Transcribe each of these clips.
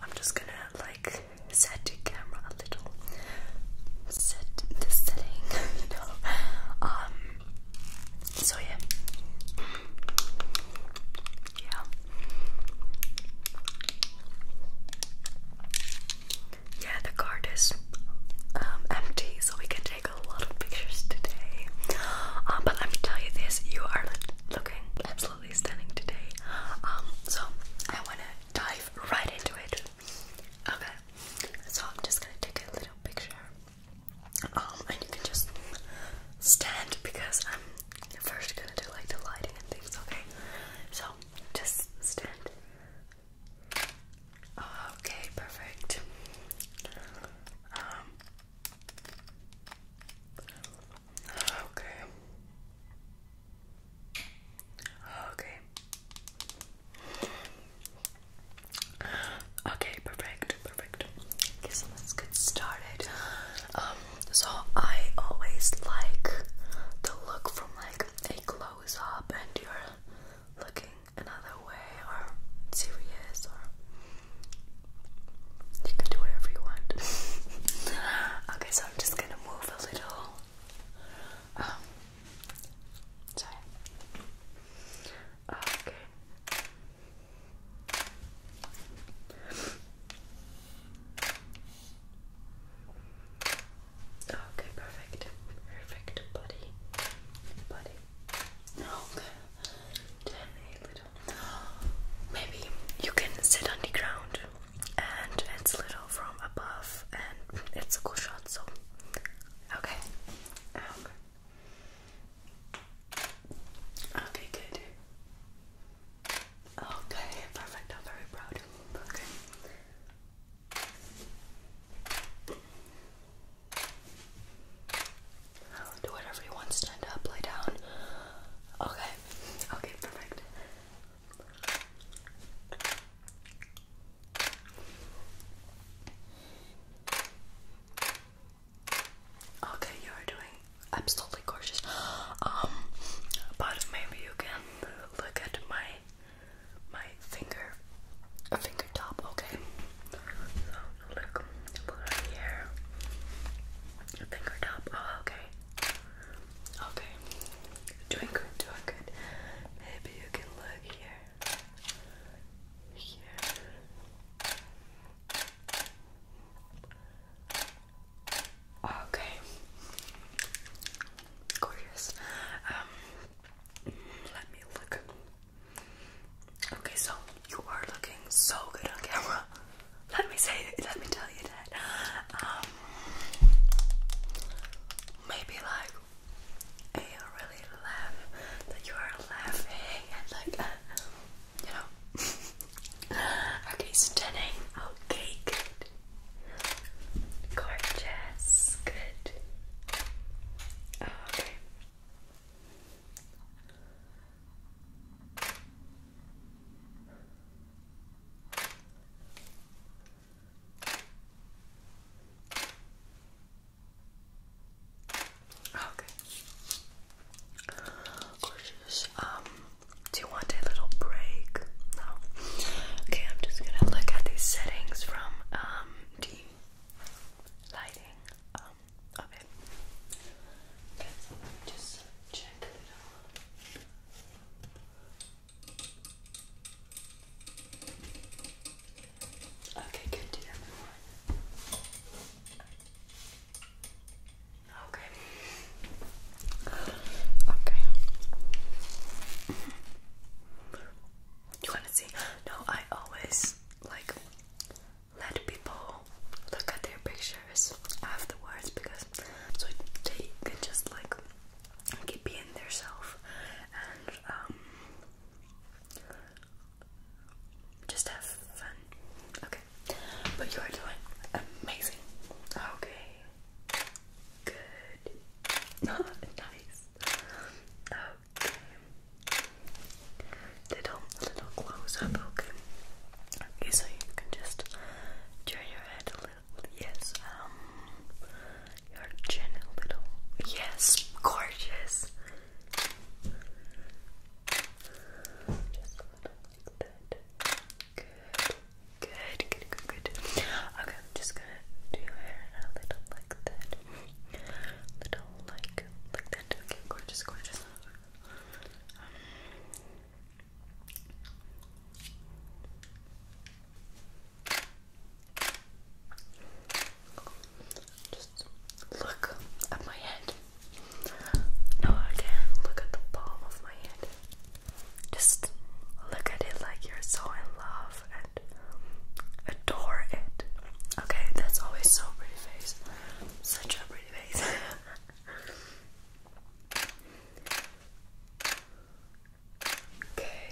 I'm just gonna like set the camera a little, set the setting, you Um. So yeah, yeah. Yeah, the card is um, empty, so we can take a lot of pictures today. Um, but let me tell you this: you are looking absolutely stunning today. Um, so I want to dive right into it. Okay, so I'm just gonna take a little picture. Um, and you can just stand because I'm first gonna do like the lighting and things. Okay, so just stand. Okay, perfect. Um, Okay. Okay. Okay, perfect, perfect. Okay, let's get started. Um, so I always like to look from like a close up and you're looking another way or serious or you can do whatever you want. okay, so I'm just gonna move a little. Um, sorry. Okay. Okay, perfect. Perfect, buddy. Buddy. Okay. Then a Maybe you can sit on the ground and it's little from above and it's a cool shot so okay. Ah, okay, okay good. Okay, perfect. I'm very proud. Okay do whatever you want. Stand up, lay down. Okay. Okay, perfect. Okay, you are doing absolutely gorgeous. Um, but maybe you can look at my my finger, a fingertop. Okay. So Look, here. Your fingertip. Oh, okay. Okay. Doing good, Maybe you can look here. Here. Okay. Gorgeous. Um, let me look. Okay, so you are looking so good on camera. Let me say it, let me tell you that. Um maybe like I really laugh that you are laughing and like uh, you know Okay stunning. Okay, good. Gorgeous, good. Okay. Okay. Gorgeous. Um, do you want a little break? No. Okay, I'm just gonna look at these settings from um the lighting. Okay, just check a little. Okay, good to everyone. Okay. Okay. you want to see? No, I always like let people look at their pictures afterwards because so they can just like keep being themselves and um just have fun. Okay. But you are doing amazing. Okay. Good. nice. Okay little little close up, okay? Okay, so you can just turn your head a little yes, um your chin a little yes, gorgeous. Just a little like that. Good. Good, good, good, good. Okay, I'm just gonna do your hair a little like that. Little like like that. Okay, gorgeous, gorgeous. Just look at my hand. No, I look at the palm of my hand. Just look at it like you're so in love and adore it. Okay, that's always so pretty face. Such a pretty face. okay.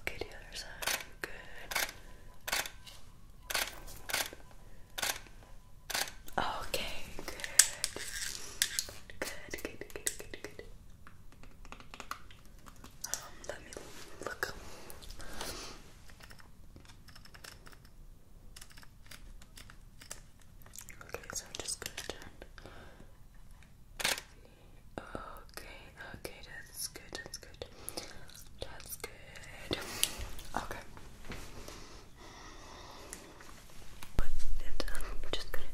Okay, the other side. Good. Okay, good. Good, good, good, good, good let me look. Okay, so I'm just gonna turn. Okay, okay, that's good, that's good. That's good. Okay. Put I'm just gonna.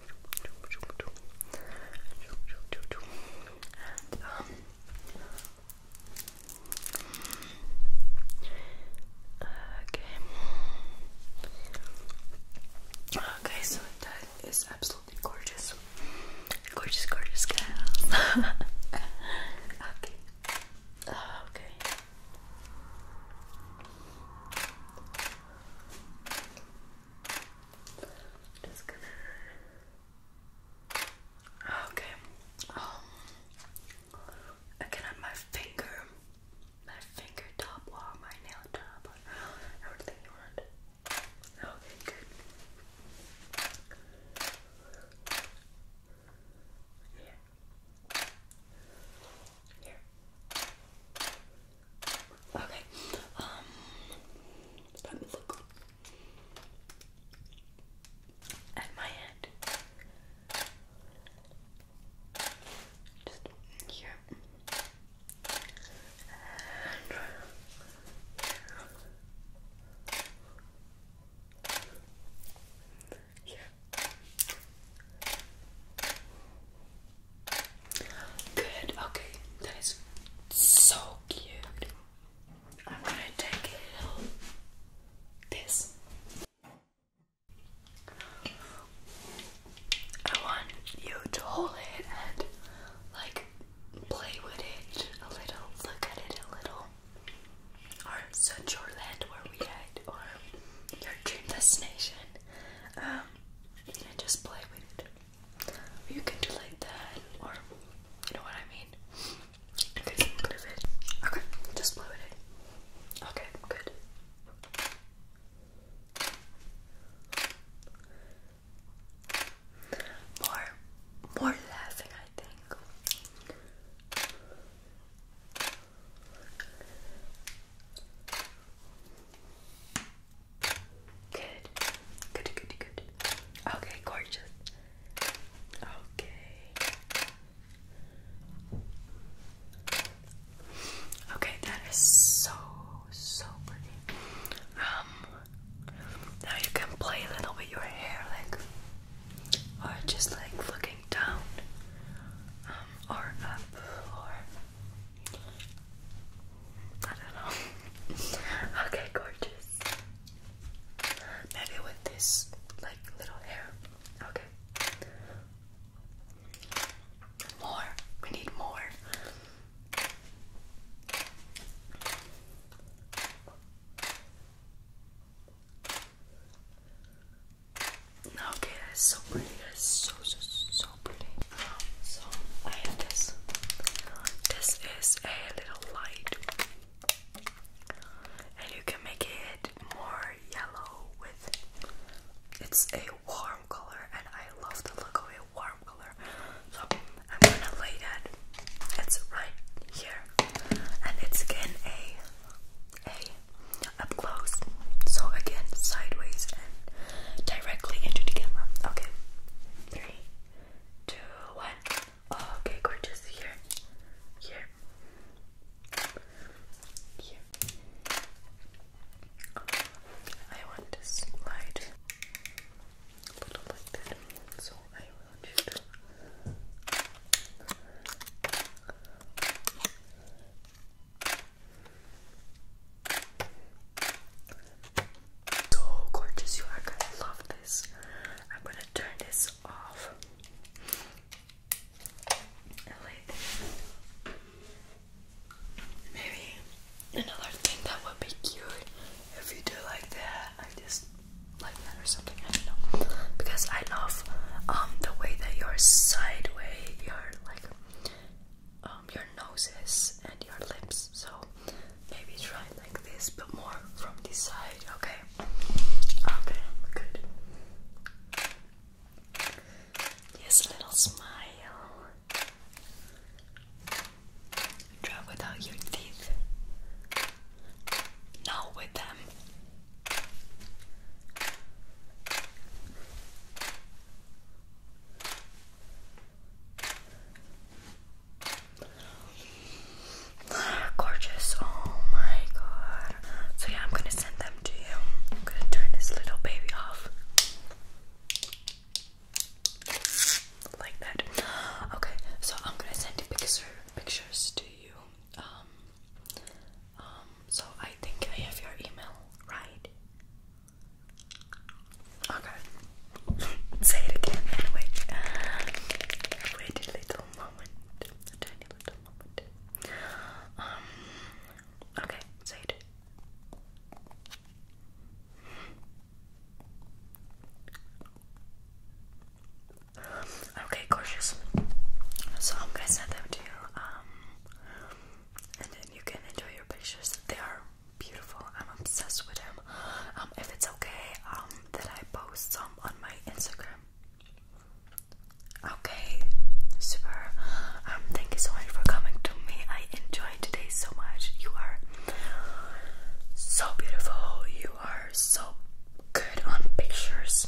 And, okay. Okay, so that is absolutely gorgeous. Gorgeous, gorgeous girl. okay. Okay. Just gonna. Okay. Um. Again, on my finger, my finger top or my nail top, everything you want. Okay, good. Here. Here. Okay. Um at my hand. Just here. And here. Good, okay, that is so cute. I'm gonna take this. I want you to hold it and like play with it a little, look at it a little. Or such your land where we hide, or your dream destination. Um, and just play with it. You can do like that, or you know what I mean. Okay, just play with it. Okay, good. More, more laughing, I think. Good. Good, good, good. Okay, gorgeous. Okay. Okay, that is so so pretty. Um now you can play a little with your hair like or just like looking down um, or up or I don't know. okay, gorgeous. Maybe with this like little hair. Okay. More. We need more. Okay, that's so pretty. That's so so so pretty. So I have this. This is a little light, and you can make it more yellow with. It's a warm color, and I love the look of a warm color. So I'm gonna lay that. It's right here, and it's again a a up close. So again, sideways and directly into the camera. Okay. Three, two, one. Okay, gorgeous. Here. Here. Here. I want to slide a little like that. So I want you so gorgeous you are going love this. I'm gonna turn this off Maybe another thing that would be cute if you do like that. I just like that or something. I don't know because I love um the way that your sideway your like um, your noses and your lips. So maybe try like this, but more from this side. Okay. Okay. Good. Yes, a little smile. Try without your teeth. No, with them. Gorgeous. Oh my god. So yeah, I'm gonna send them to you. I'm gonna turn this little baby off. Like that. Okay, so I'm gonna send the picture pictures to you. Um um, so I think I have your email, right? Okay. Say it again anyway. Wait a little moment. A tiny little moment. Um okay, say it. Okay, gorgeous. So I'm gonna send them to you, um, and then you can enjoy your pictures. They are beautiful. I'm obsessed with them. Um, if it's okay, um, that I post some on my Instagram. Okay, super. Um, thank you so much for coming to me. I enjoyed today so much. You are so beautiful. You are so good on pictures.